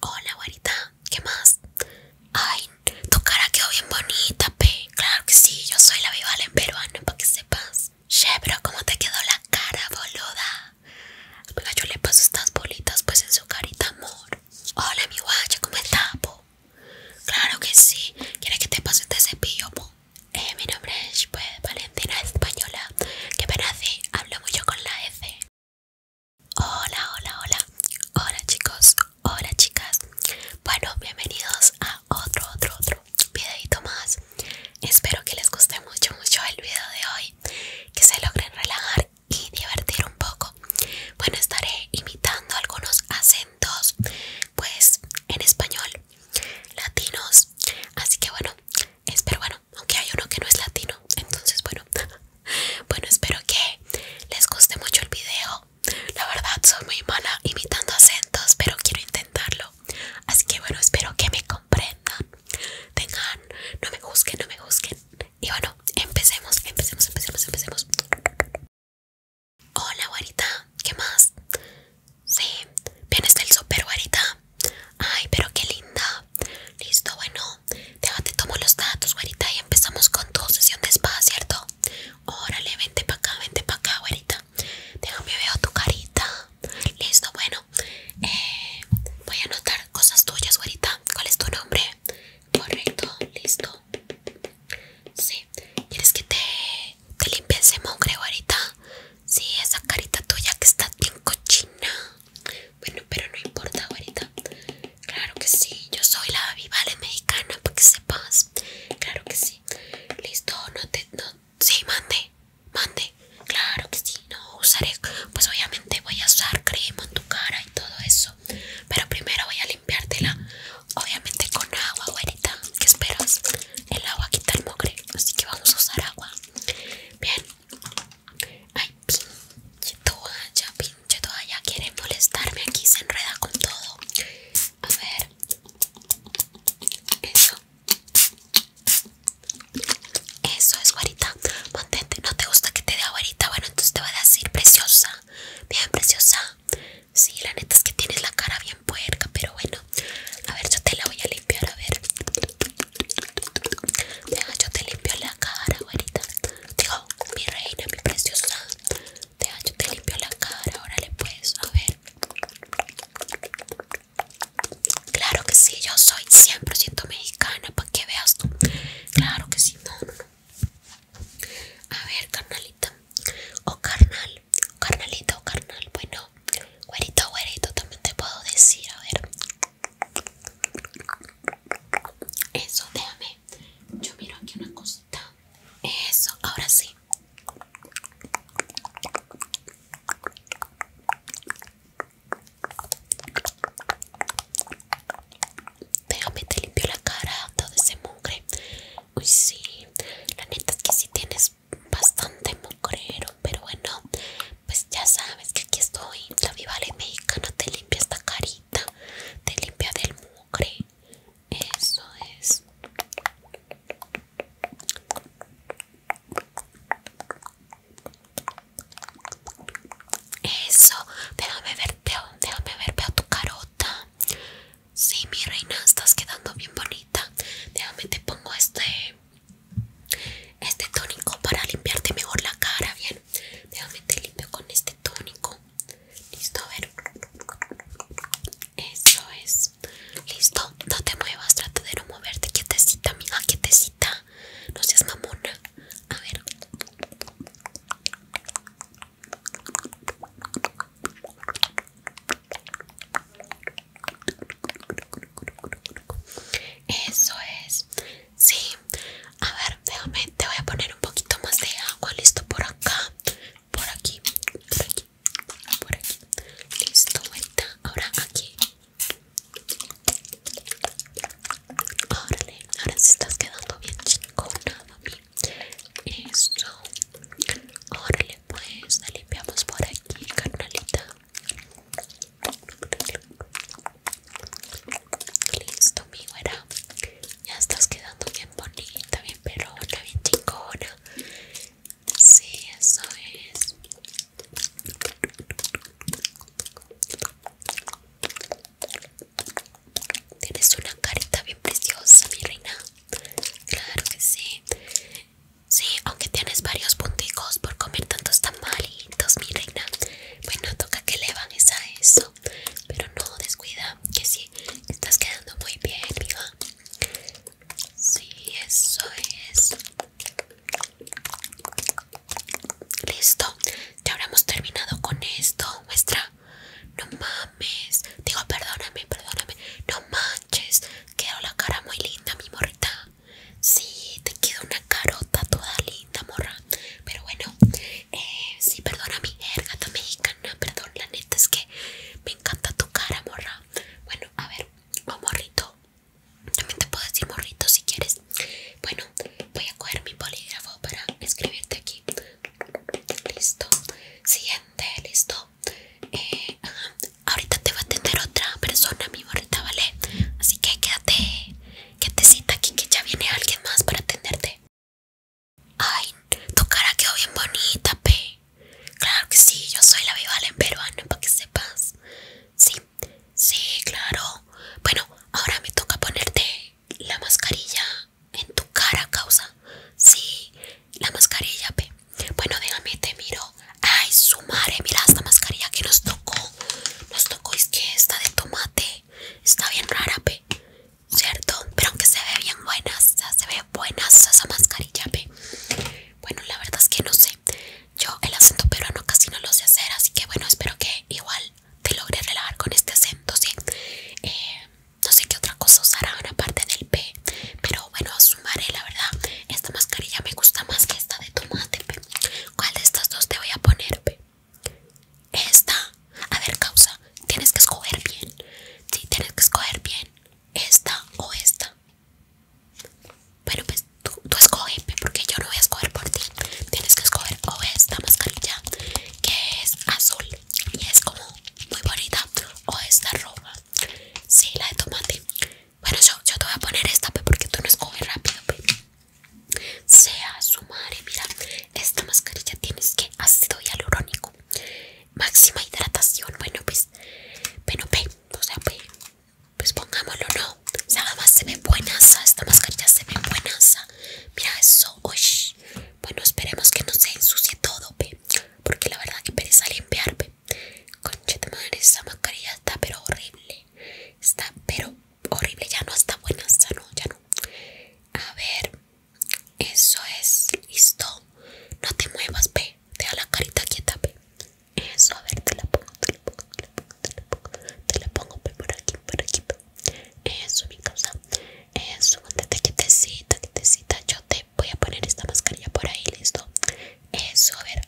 Hola, guarita ¿qué más? Ay, tu cara quedó bien bonita, pe. Claro que sí, yo soy la bival en peruano, para que sepas. Che, pero ¿cómo te quedó la cara, boluda? Venga, yo le paso estas bolitas, pues, en su carita, amor. Hola, mi guacha, ¿cómo estás, po? Claro que sí. ¿Quieres que te pase este cepillo, po? Eh, mi nombre es, pues, Valentina Española. Que pena, hablo mucho con la F Hola, hola, hola. Hola chicos, hola chicas. Bueno, bienvenidos a otro, otro, otro videito más. Espero que les guste mucho, mucho el video de hoy. Que se logren relajar y divertir un poco. Bueno, estaré imitando algunos acentos, pues en español, latinos. Así que bueno, espero, bueno, aunque hay uno que no es latino. Entonces, bueno, bueno, espero que les guste mucho el video. La verdad, soy muy mala imitando acentos, pero quiero intentarlo. Así que, bueno, espero que me comprendan. Tengan, no me busquen, no me busquen. Y bueno, empecemos, empecemos, empecemos, empecemos. Hola, guarita, ¿qué más? Sí, vienes del super guarita. Ay, pero qué linda. Listo, bueno, déjate tomo los datos, güerita, y empezamos con tu sesión de spa, ¿cierto? Órale, vente para acá, vente para acá, güerita. Déjame veo tu carita. Listo, bueno. Eh, voy a anotar cosas tuyas, güerita. ¿Cuál es tu nombre? Correcto, listo. Sí, ¿quieres que te, te limpie ese mugre, güerita? Sí, esa carita tuya que está bien cochina. Bueno, pero no importa güerita, Claro que sí, yo soy la vivale mexicana, para que sepas. Claro que sí. Listo, no te... No, sí, mande, mande. Claro que sí, no usaré... Pues obviamente voy a usar crema en tu cara y todo eso. Pero primero voy a limpiártela, obviamente con agua, güerita. ¿Qué esperas? El agua quita el mugre, así que vamos a usar agua. Bien, Ay, pinche toalla, pinche toalla. quiere molestarme aquí, se enreda con todo. A ver. Eso. Eso es guarita. Mantente, no te gusta que te dé guarita. Bueno, entonces te voy a decir preciosa. Bien, preciosa. Sí, la neta es que tienes la cara bien puerca, pero bueno. A ver, yo te la voy a limpiar, a ver. Deja, yo te limpio la cara, güerita. Digo, mi reina, mi preciosa. Deja, yo te limpio la cara. Órale, puedes, a ver. Claro que sí, yo soy 100% mexicana, para que veas tú. Claro que sí, no, A ver, carnalita. O oh, carnal. Carnalita o oh, carnal. Bueno, güerito, güerito, también te puedo decir. A ver. Eso, déjame. Yo miro aquí una cosita. Eso, ahora sí. Déjame, te limpio la cara, todo ese mugre. Uy, sí. La neta es que si tienes bastante mugrero, pero bueno, pues ya sabes que aquí estoy. La viva mexicana te limpia esta carita, te limpia del mugre. Eso es. Eso, déjame ver, veo, tu carota. Sí, mi reina, estás quedando bien bonita. Déjame te pongo este este tónico para limpiarte mejor la cara, bien déjame te limpio con este tónico. Listo, a ver. Eso es. Listo, no te muevas, trata de no moverte. Quietecita, amiga, quietecita. No seas mamona. A ver. Eso es. Sí, a ver, déjame, te voy a poner un poquito más de agua, listo, por acá, por aquí, por aquí, por aquí, listo, ahorita, ahora aquí. Órale, ahora si estás quedando bien chingona, mi, Eso, órale, pues, la limpiamos por aquí, carnalita. Listo, mi güera. Ya estás quedando bien bonita, bien perona, bien chingona. Sí, eso es. Tienes una carita bien preciosa, mi reina. Claro que sí. Sí, aunque tienes varios punticos por comer tanto está mal mi reina. Bueno, toca que le van a eso. Pero no descuida, que sí, estás quedando muy bien, mija. Sí, eso es. Listo, ya hemos terminado con esto. Muestra, no mames. Digo, perdóname, perdóname. No manches, quedó la cara muy linda, mi morita. Sí, te queda una carota toda linda, morra. Pero bueno, si eh, sí, perdona mi jerga mexicana. Perdón, la neta es que me encanta tu cara, morra. Bueno, a ver, o oh, morrito. También te puedo decir morrito si quieres. Bueno, voy a coger mi polígrafo para escribirte aquí. Listo. Siguiente, listo. Eh, ahorita te va a atender otra persona, mi morrita, ¿vale? Así que quédate que te cita aquí que ya viene alguien más para atenderte. Ay, tu cara quedó bien bonita, Pe. Claro que sí, yo soy la Vivala en peruano, para que sepas. Sí, sí, claro. Bueno, ahora me toca ponerte la mascarilla en tu cara, causa. Sí, la mascarilla, Pe. Bueno, déjame, te miro. Ay, su madre, mira esta mascarilla que nos tocó nos tocó es que esta de tomate está bien rara, ¿cierto? Pero aunque se ve bien buena, se ve buena esa mascarilla, pe. Bueno, la verdad es que no sé. Yo el acento peruano casi no lo sé hacer, así que bueno, espero que igual te logre relajar con este acento, ¿sí? Eh, no sé qué otra cosa usarán aparte del P, pero bueno, sumaré la verdad. Esta mascarilla me gusta más que esta de tomate, pe. ¿Cuál de estas dos te voy a poner, pe? Esta. A ver, causa. Tienes que escoger bien. Sí, tienes que escoger bien. Esta o esta. Pero pues tú, escoges, porque yo no voy a escoger por ti. Tienes que escoger o esta mascarilla, que es azul y es como muy bonita, o esta roja. si la de tomate. Bueno, yo, yo te voy a poner esta, porque tú no escoges rápido sea su madre mira esta mascarilla tienes que ácido hialurónico máxima hidratación bueno pues bueno pues, o sea pues, pongámoslo no nada más se ve buenaza esta mascarilla se ve buenaza mira eso bueno esperemos que no se ensucie todo porque la verdad que pereza limpiar pe madre esa mascarilla está pero horrible Está, pero horrible, ya no está buena, ya no, ya no. A ver, eso es, listo. No te muevas, ve. Deja la carita quieta, pe Eso, a ver, te la pongo, te la pongo, te la pongo, te la pongo. Te la pongo por aquí, por aquí. Eso, mi causa. Eso, mantente quietecita, quietecita. Yo te voy a poner esta mascarilla por ahí, listo. Eso, a ver.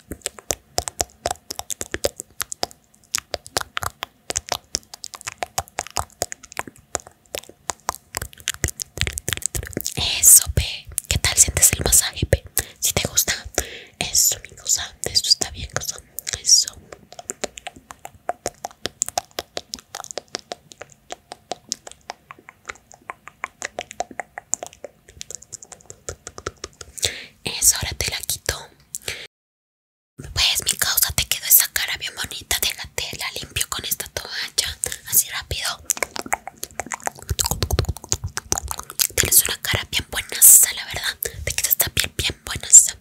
Eso, Pe, ¿Qué tal sientes el masaje, Pe? Si te gusta. Eso, mi cosa. eso está bien, cosa. Eso. Eso, ahora te la quito. Pues mi causa te quedó esa cara bien bonita, de la limpio con esta toalla, así rápido. Tienes una cara bien buenaza, la verdad, te que esta piel bien buenaza.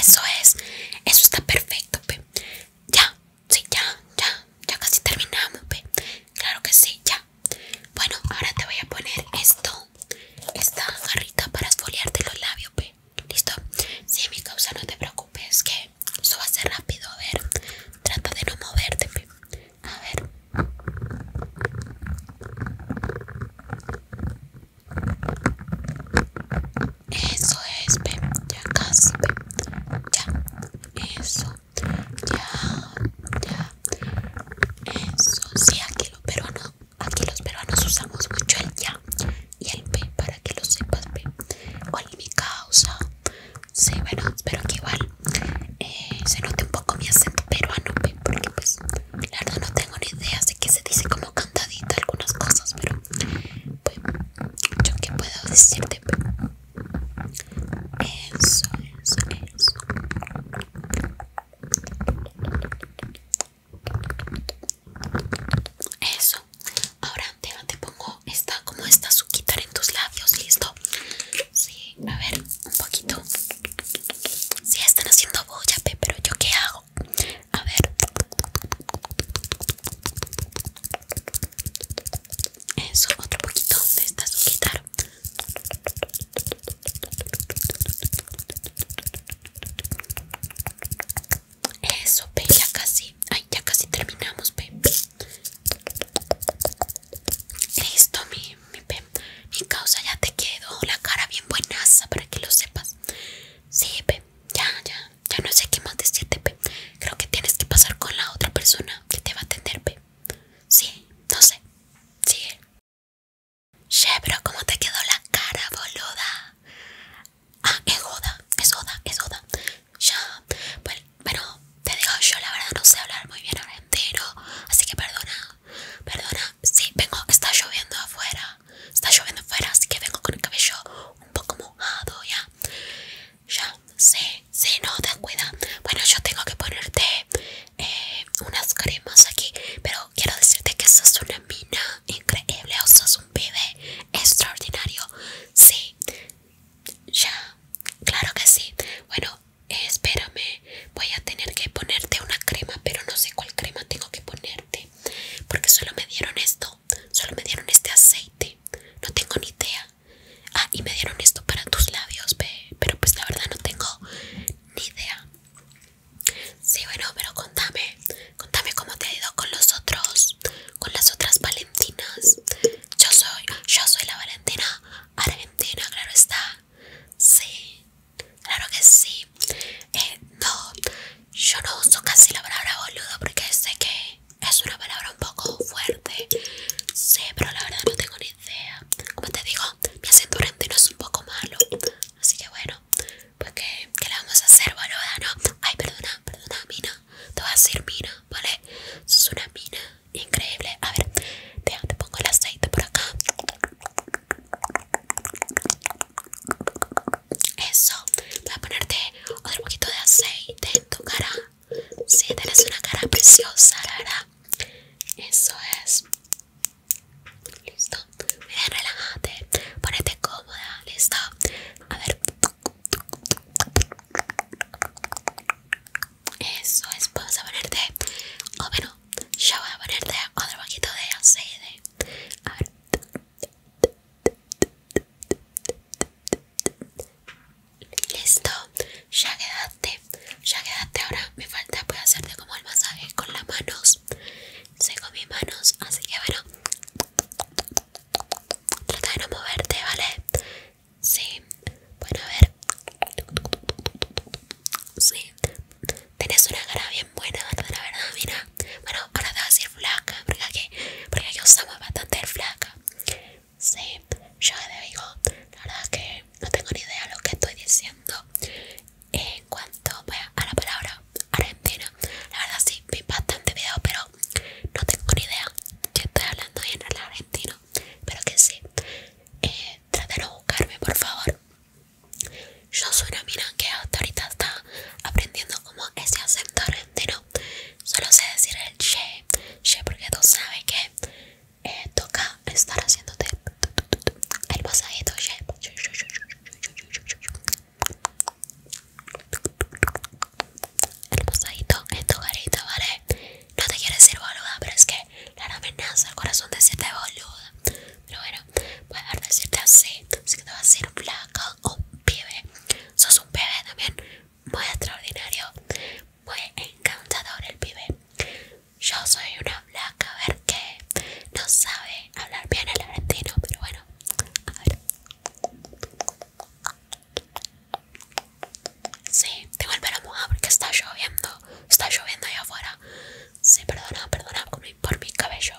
Eso es, eso está perfecto, pe. Ya, sí, ya, ya, ya casi terminamos, pe. Claro que sí, ya, bueno, ahora te voy a poner esto, esta jarrita para esfoliarte los labios, pe. ¿Listo? Si, mi causa, no te preocupes, que eso va a ser rápido, a ver, trata de no moverte, pe. A ver. Eso es, pe. Ya casi, pe. Ya. Eso ya, ya. Eso sí, aquí los peruanos, aquí los peruanos usamos mucho el ya y el pe para que lo sepas, pe ¿Cuál mi causa? Sí, bueno, espero que igual eh, se note un poco mi acento peruano, pe porque pues la verdad no tengo ni idea, de que se dice como cantadita algunas cosas, pero pues, yo que puedo decirte, eso, eso, eso. Eso. Ahora te pongo esta como esta suquitar en tus labios, listo. Sí, a ver, un poquito. Sí, están haciendo boya, pero yo qué hago? A ver. Eso, otro poquito de esta suquitar. Eso, pe ya casi. Ay, ya casi terminamos, pe Listo, mi, pe. Mi causa ya te quedo la cara bien buenaza para que lo sepas. Sí, pe. Ya, ya. Ya no sé qué más decirte, pe. Creo que tienes que pasar con la otra persona que te va a atender, pe. Sí, no sé. Sí Che, pero ¿cómo te quedó la cara, boluda? Ah, es Oda, es Oda, es Oda. Ya, bueno, pues, te digo, yo la verdad no sé hablar muy bien ahora entero, así que perdona, perdona. Sí, vengo, está lloviendo afuera, está lloviendo afuera, así que vengo con el cabello un poco mojado, ya. Ya, sí, Sí, no, ten cuidado. Bueno, yo tengo que ponerte eh, unas cremas aquí, pero quiero decirte que sos una mina increíble o sos un bebé extraordinario. Sí, ya, claro que sí. Bueno, espérame, voy a tener que ponerte una crema, pero no sé cuál crema tengo que ponerte, porque solo me dieron esto, solo me dieron este aceite. No tengo ni idea. Ah, y me dieron esto para tus labios, pero pues la verdad no tengo ni idea. Sí, bueno, pero contame, contame cómo te ha ido con los otros, con las otras Valentinas. Yo soy, yo soy la Valentina Argentina, claro está. Sí, claro que sí. Eh, no, yo no uso casi la palabra boludo porque sé que es una palabra un poco fuerte. Sí, pero la verdad no tengo ni Vea, Como te digo, mi durante no es un poco malo. Así que bueno, pues que, que vamos a hacer, boluda, ¿no? Ay, perdona, perdona, mina. Te voy a decir mina, ¿vale? Es una mina increíble. A ver, te, te pongo el aceite por acá. Eso, voy a ponerte otro poquito de aceite en tu cara. Sí, tienes una cara preciosa, la Eso es. Listo. mira, relájate. Ponete cómoda. Listo. A ver. Eso es. Vamos a ponerte. O oh, bueno, yo voy a ponerte otro poquito de aceite. A ver. Listo, ya quedaste, ya quedaste, ahora. Me falta pues hacerte como el masaje con las manos. Seco mis manos, así que bueno, trata de no moverte, ¿vale? Sí, bueno, a ver. Sí, tienes una cara bien buena, ¿verdad? La verdad, mira. Bueno, ahora te vas a decir flaca, porque aquí, porque aquí usamos bastante flaca. Sí, yo te digo, la verdad que no tengo ni idea de lo que estoy diciendo en cuanto a la palabra Argentina. La verdad sí, vi bastante video, pero no tengo ni idea que estoy hablando bien el argentino. Pero que sí, eh, trátelo de buscarme, por favor. Yo soy una mina que hasta ahorita está aprendiendo como ese acento argentino. Solo sé decir el che, che porque tú sabes que eh, toca estar haciéndote el masajito el masajito en tu carita, ¿vale? No te quiero decir boluda, pero es que la amenaza al corazón decirte boluda Pero bueno, voy pues, a decirte así, así que te vas a decir blanca o oh, un pibe Sos un pibe también, muy extraordinario fue encantador el pibe. Yo soy una blanca, a ver que no sabe hablar bien el argentino, pero bueno, a ver. Sí, tengo el pelo mojado porque está lloviendo, está lloviendo ahí afuera. Sí, perdona, perdona por mi cabello.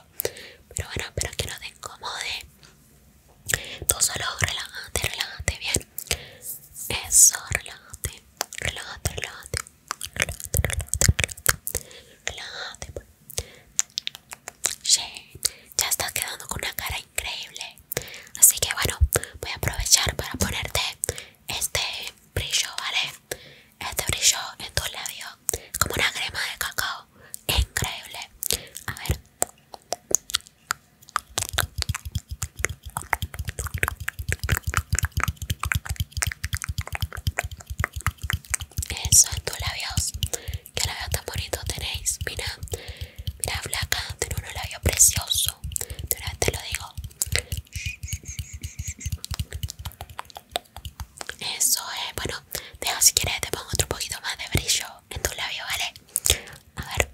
Pero bueno, espero que no te incomode. Tú solo relájate, relájate bien. Eso, relájate, relájate, relájate, relájate, relájate, relájate, ya estás quedando con una cara increíble. Así que bueno, voy a aprovechar para ponerte este brillo, ¿vale? Este brillo en tus labios, como una crema de cacao. Increíble. A ver eso, tus labios, que labios tan bonitos tenéis. Mira, mira, flaca, tiene unos labios preciosos. De una vez te lo digo. Eso es, bueno, deja si quieres, te pongo otro poquito más de brillo en tu labio, ¿vale? A ver.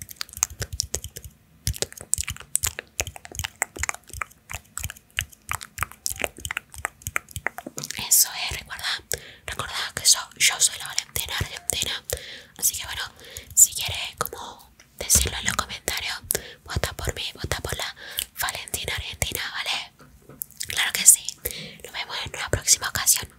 Eso es, recuerda, recuerda que yo, soy la Valentina Argentina. Así que bueno, si quieres como decirlo en los comentarios, vota por mí, vota por la Valentina Argentina, ¿vale? Claro que sí. Nos vemos en una próxima ocasión.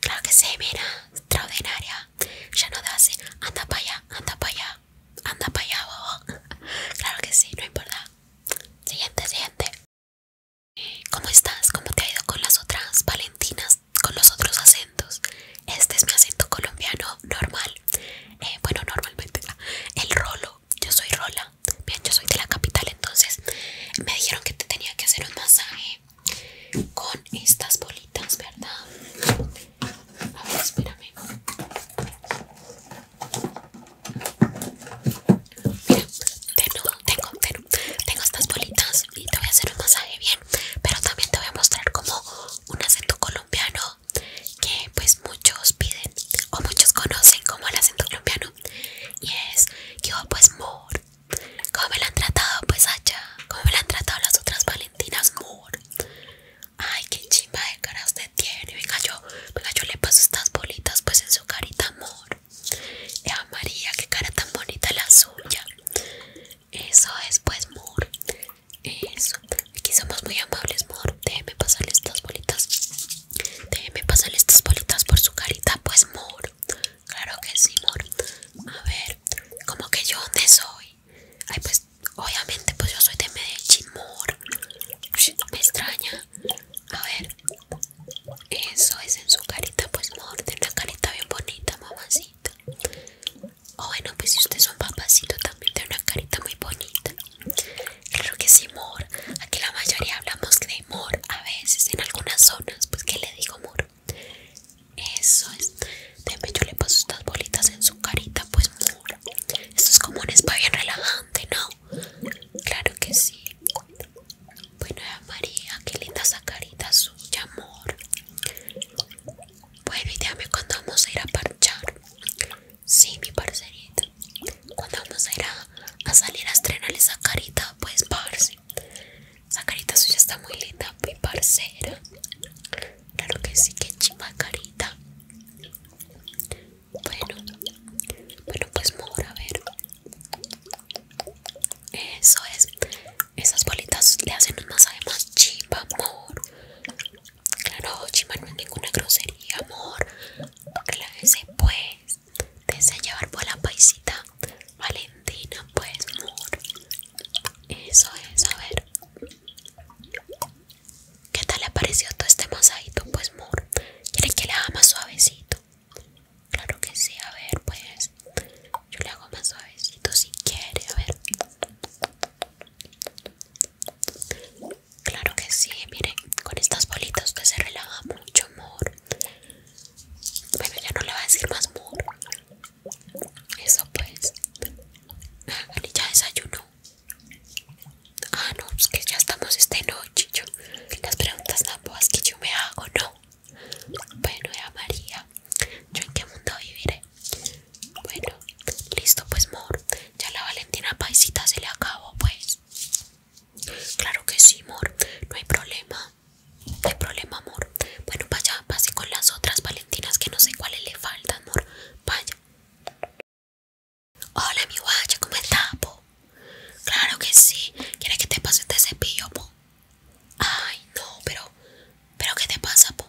Claro que sí, mira, extraordinaria ya no da así, eh. anda para allá, anda para allá, anda para allá, bobo. Claro que sí, no importa. Siguiente, siguiente. ¿Cómo estás? ¿Cómo te ha ido con las otras Valentinas? Con los otros acentos. Este es mi acento colombiano normal. Eh, bueno, normalmente el rolo. Yo soy Rola. Bien, yo soy de la capital, entonces me dijeron que te tenía que hacer un masaje con estas bolitas, ¿verdad? A ver, espérame. Mira, tengo, estas bolitas y te voy a hacer un masaje bien, pero también te voy a mostrar como un acento colombiano que pues muchos piden o muchos conocen como el acento colombiano y es que yo pues mor, como me lo han tratado pues allá, ¿cómo me lo han tratado las otras Valentinas Ay, qué chimba de caras usted tiene. Venga yo, venga yo le paso estas bolitas pues en su carita amor. Eva María, qué cara tan bonita la suya. Eso es pues Moore. Eso. Aquí somos muy amables, Moore. Déjeme pasarle estas bolitas. Déjeme pasarle estas bolitas por su carita pues amor Claro que sí, amor A ver, como que yo dónde soy. Ay, pues, obviamente, pues yo soy de Medellín, mor. Me extraña. A ver, eso es en su carita, pues, mor. Tiene una carita bien bonita, mamacito O oh, bueno, pues si usted es un papacito, también tiene una carita muy bonita. Creo que sí, amor. Aquí la mayoría hablamos de amor. A veces, en algunas zonas, pues, que le digo, mor? Eso es. Déjame, yo le paso estas bolitas en su carita, pues. Esto es como un spa bien relajante, ¿no? Claro que sí. Bueno, María, qué linda esa carita suya, amor. Pues a cuando vamos a ir a parchar. Sí, mi parcerita. Cuando vamos a ir a, salir a estrenar esa carita, pues, parce. Esa carita suya está muy linda, mi parcera. Claro que sí, que carita Bueno, bueno, pues mora, a ver. Eso es. Esas bolitas le hacen un masaje más chima amor. Claro, chima no es ninguna grosería, amor. Clávese, pues. Desea llevar por la paisita Valentina, pues, amor. Eso es, a ver. ¿Qué tal le pareció todo este masajito? Pues, Moore? ¿quieren que le haga más suavecito? Claro que sí, a ver, pues. Yo le hago más suavecito si quiere, a ver. Claro que sí, miren, con estas bolitas que se relaja mucho, amor. Bueno, ya no le va a decir más amor. Eso pues. ya desayunó. Ah, no, es pues que ya estamos esta noche. Yo, las preguntas tan que yo me hago, no. Bueno, ya María, ¿yo en qué mundo viviré? Bueno, listo, pues, Mor. Ya la Valentina Paisita se le acabó, pues. Claro que sí, Mor. No hay problema. No hay problema, amor bueno, vaya, pase con las otras Valentinas que no sé cuáles le faltan, amor. Vaya. Hola, mi guacha, ¿cómo estás, po? Claro que sí. ¿Quieres que te pase este cepillo, po? Ay, no, pero. ¿Pero qué te pasa, po?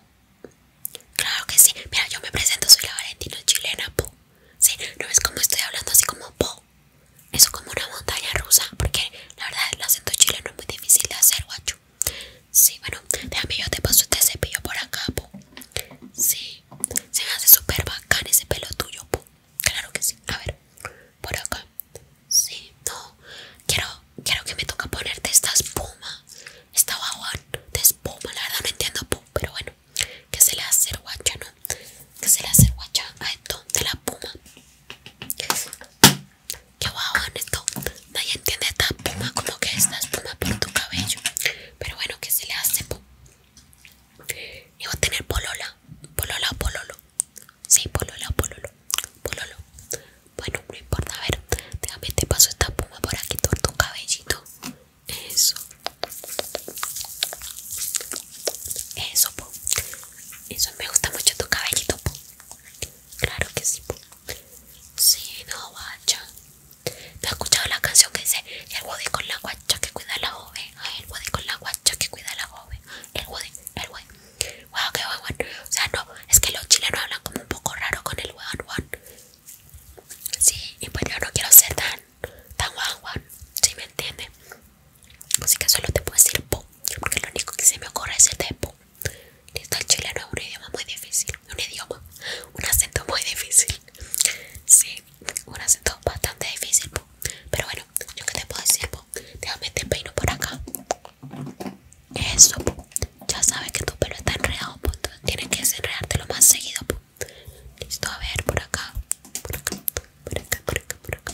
Claro que sí. Mira, yo me presento, soy la Valentina chilena, po. Sí, no ves como estoy hablando así como po. Eso como una montaña rusa, porque la verdad el acento chileno es muy difícil de hacer, guacho. Sí, bueno, déjame yo te paso este cepillo por acá, po. Sí, se me hace súper bacán ese pelo tuyo, po. Claro que sí. A ver, por acá. Sí, no. Quiero, quiero que me toca ponerte esta espuma. Esta guaguán de espuma. La verdad no entiendo, po. Pero bueno, que se le hace guacha, ¿no? Que se le hace guacha a esto de la espuma que wow, esto nadie entiende esta espuma como que esta espuma por tu cabello pero bueno que se le hace y va a tener polola polola o pololo sí polola o pololo pololo bueno no importa a ver déjame te paso esta espuma por aquí por tu cabellito eso eso po. eso me gusta mucho tu cabellito po. Claro que sí. Sí, no, guacha. ¿Te has escuchado la canción que dice el body con la guacha que cuida a la joven? Ay, el body con la guacha que cuida a la joven. El body, el body. Wow, qué guay, O sea, no, es que los chilenos hablan como un poco raro con el guan, guan. Sí, y pues yo no quiero ser tan, tan guan, si Sí, me entiende. Así que solo te puedo decir po, porque lo único que se me ocurre es el de po. Listo, el chileno es un idioma muy difícil. Un idioma, un acento muy difícil. Sí, un acento bastante difícil. Pero bueno, yo que te puedo decir, po? déjame este peino por acá. Eso, ya sabes que tu pelo está enredado, tienes que lo más seguido. Po. Listo, a ver, por acá, por acá, por acá, por acá, por acá.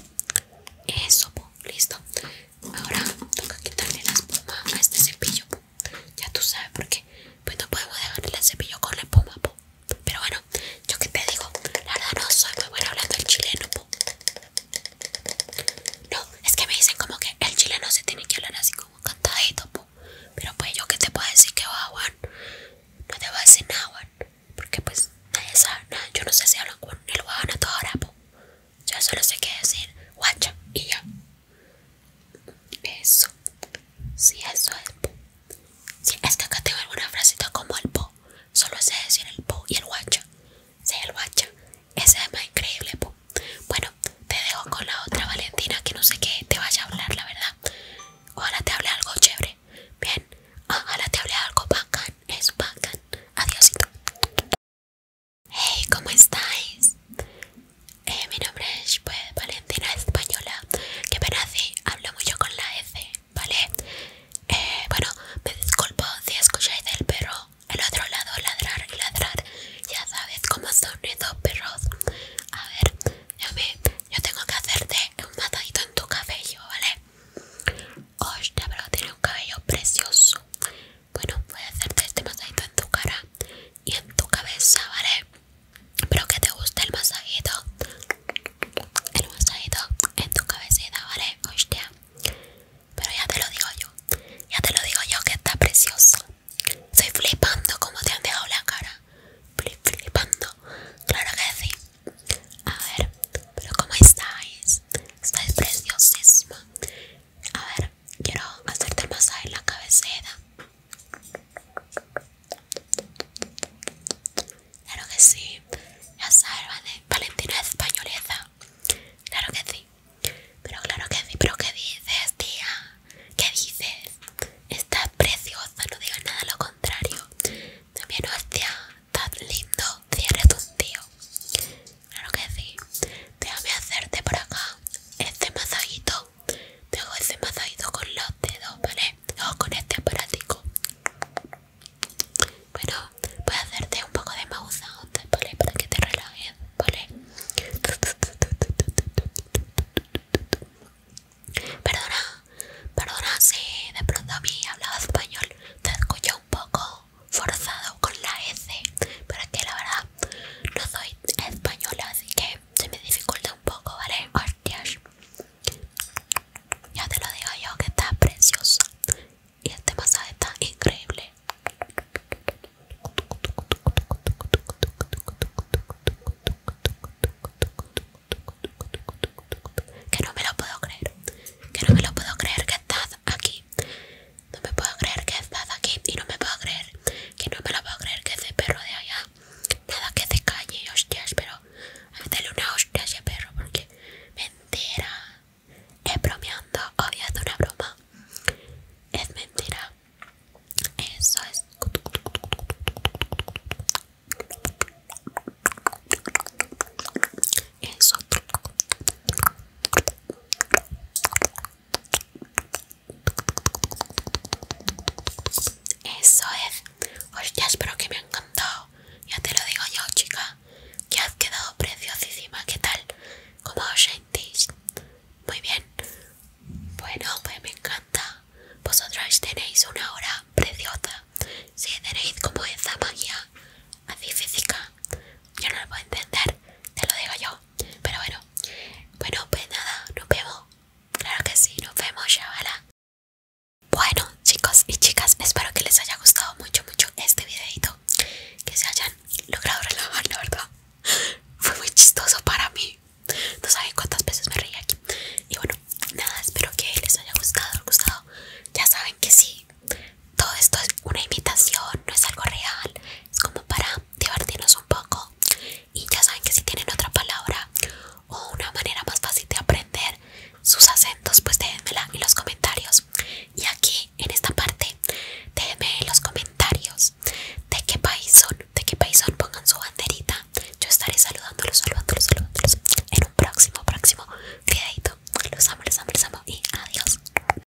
Eso, po. listo. Ahora toca quitarle la espuma a este cepillo. Ya tú sabes por qué. Pues no podemos dejar el cepillo con la espuma, po. Pero bueno, yo que te digo, la verdad no soy muy buena hablando el chileno, po. No, es que me dicen como que el chileno se tiene que hablar así como cantadito, po. Pero pues yo que te puedo decir que va, Juan. No te voy a decir nada, Juan. Porque pues nadie sabe Yo no sé si hablan con el a toda hora, po. Yo solo sé qué decir, guacha, y ya. Eso. si eso es. si es que acá tengo alguna frasita como el po. Solo sé decir el po y el guacha. Sí, el guacha. Ese es más increíble, po. Bueno, te dejo con la otra Valentina que no sé qué te vaya a hablar, la verdad. ahora te hable algo chévere. Bien, ahora te hable algo bacán. Es bacán. Adiósito. Hey, ¿cómo estáis? Eh, mi nombre es pues, Valentina Española, que pena nací, hablo mucho con la S, ¿vale? Eh, bueno, me disculpo si escucháis el perro al otro lado ladrar y ladrar. Ya sabes cómo son esos perros. A ver, yo, yo tengo que hacerte un matadito en tu cabello, ¿vale? Ostras, pero tiene un cabello precioso. Bueno, voy a hacerte este masajito en tu cara y en tu cabeza, ¿vale? Espero que te guste el masajito. El masajito en tu cabecita, ¿vale? Hostia. Pero ya te lo digo yo. Ya te lo digo yo que está precioso. Estoy flipando como te han dejado la cara. flipando. Claro que sí. A ver, pero ¿cómo estáis? Estáis preciosísima. A ver, quiero hacerte el masaje en la cabecera. Claro que sí, ya sabes, ¿vale? Valentina es Claro que sí, pero claro que sí, pero ¿qué dices, tía? ¿Qué dices? Estás preciosa, no digas nada lo contrario. También, hostia, estás lindo, cierre tu tío. Claro que sí. Déjame hacerte por acá este masajito. Te hago ese masajito con los dedos, ¿vale? O con este aparatico. Bueno, voy a hacerte un poco de masaje antes, ¿vale? Para que te relajes, ¿vale? Perdona, perdona si de pronto a mí hablaba español. Te escucho un poco forzado con la S, pero que la verdad no soy española, así que se me dificulta un poco, ¿vale? Hostias. Ya te lo digo yo que está preciosa. Y este masaje está increíble. Que no me lo puedo creer. Que no me lo puedo creer que estás aquí no me puedo creer que estás aquí y no me puedo creer que no me lo puedo creer que ese perro de allá. Nada que se calle, hostias, pero hazle una hostia a perro porque mentira. Es bromeando, obvio una broma. Es mentira. Eso es. Eso. Eso es. Hostia, espero que me ha encantado. Ya te lo digo yo, chica. Que has quedado preciosísima. ¿Qué tal? como os sentís? Muy bien. Bueno, pues me encanta. Vosotros tenéis una hora preciosa. Si tenéis como esa magia así física, yo no lo puedo entender. Te lo digo yo. Pero bueno, bueno, pues nada, nos vemos. Claro que sí, nos vemos, chavala. Bueno, chicos y chicas, espero que les haya gustado mucho, mucho este videito. Que se hayan logrado relajar, la verdad. Fue muy chistoso para mí. No saben cuántas veces me reí aquí. Y bueno, nada, espero que les haya gustado, gustado. Ya saben que sí todo esto es una imitación, no es algo real, es como para divertirnos un poco. Y ya saben que si tienen otra palabra o una manera más fácil de aprender sus acentos, pues déjenmela en los comentarios. Y aquí en esta parte, déjenme en los comentarios de qué país son, de qué país son, pongan su banderita. Yo estaré saludándolos, saludándolos, saludándolos en un próximo, próximo video Los amo, los amo, los amo y adiós.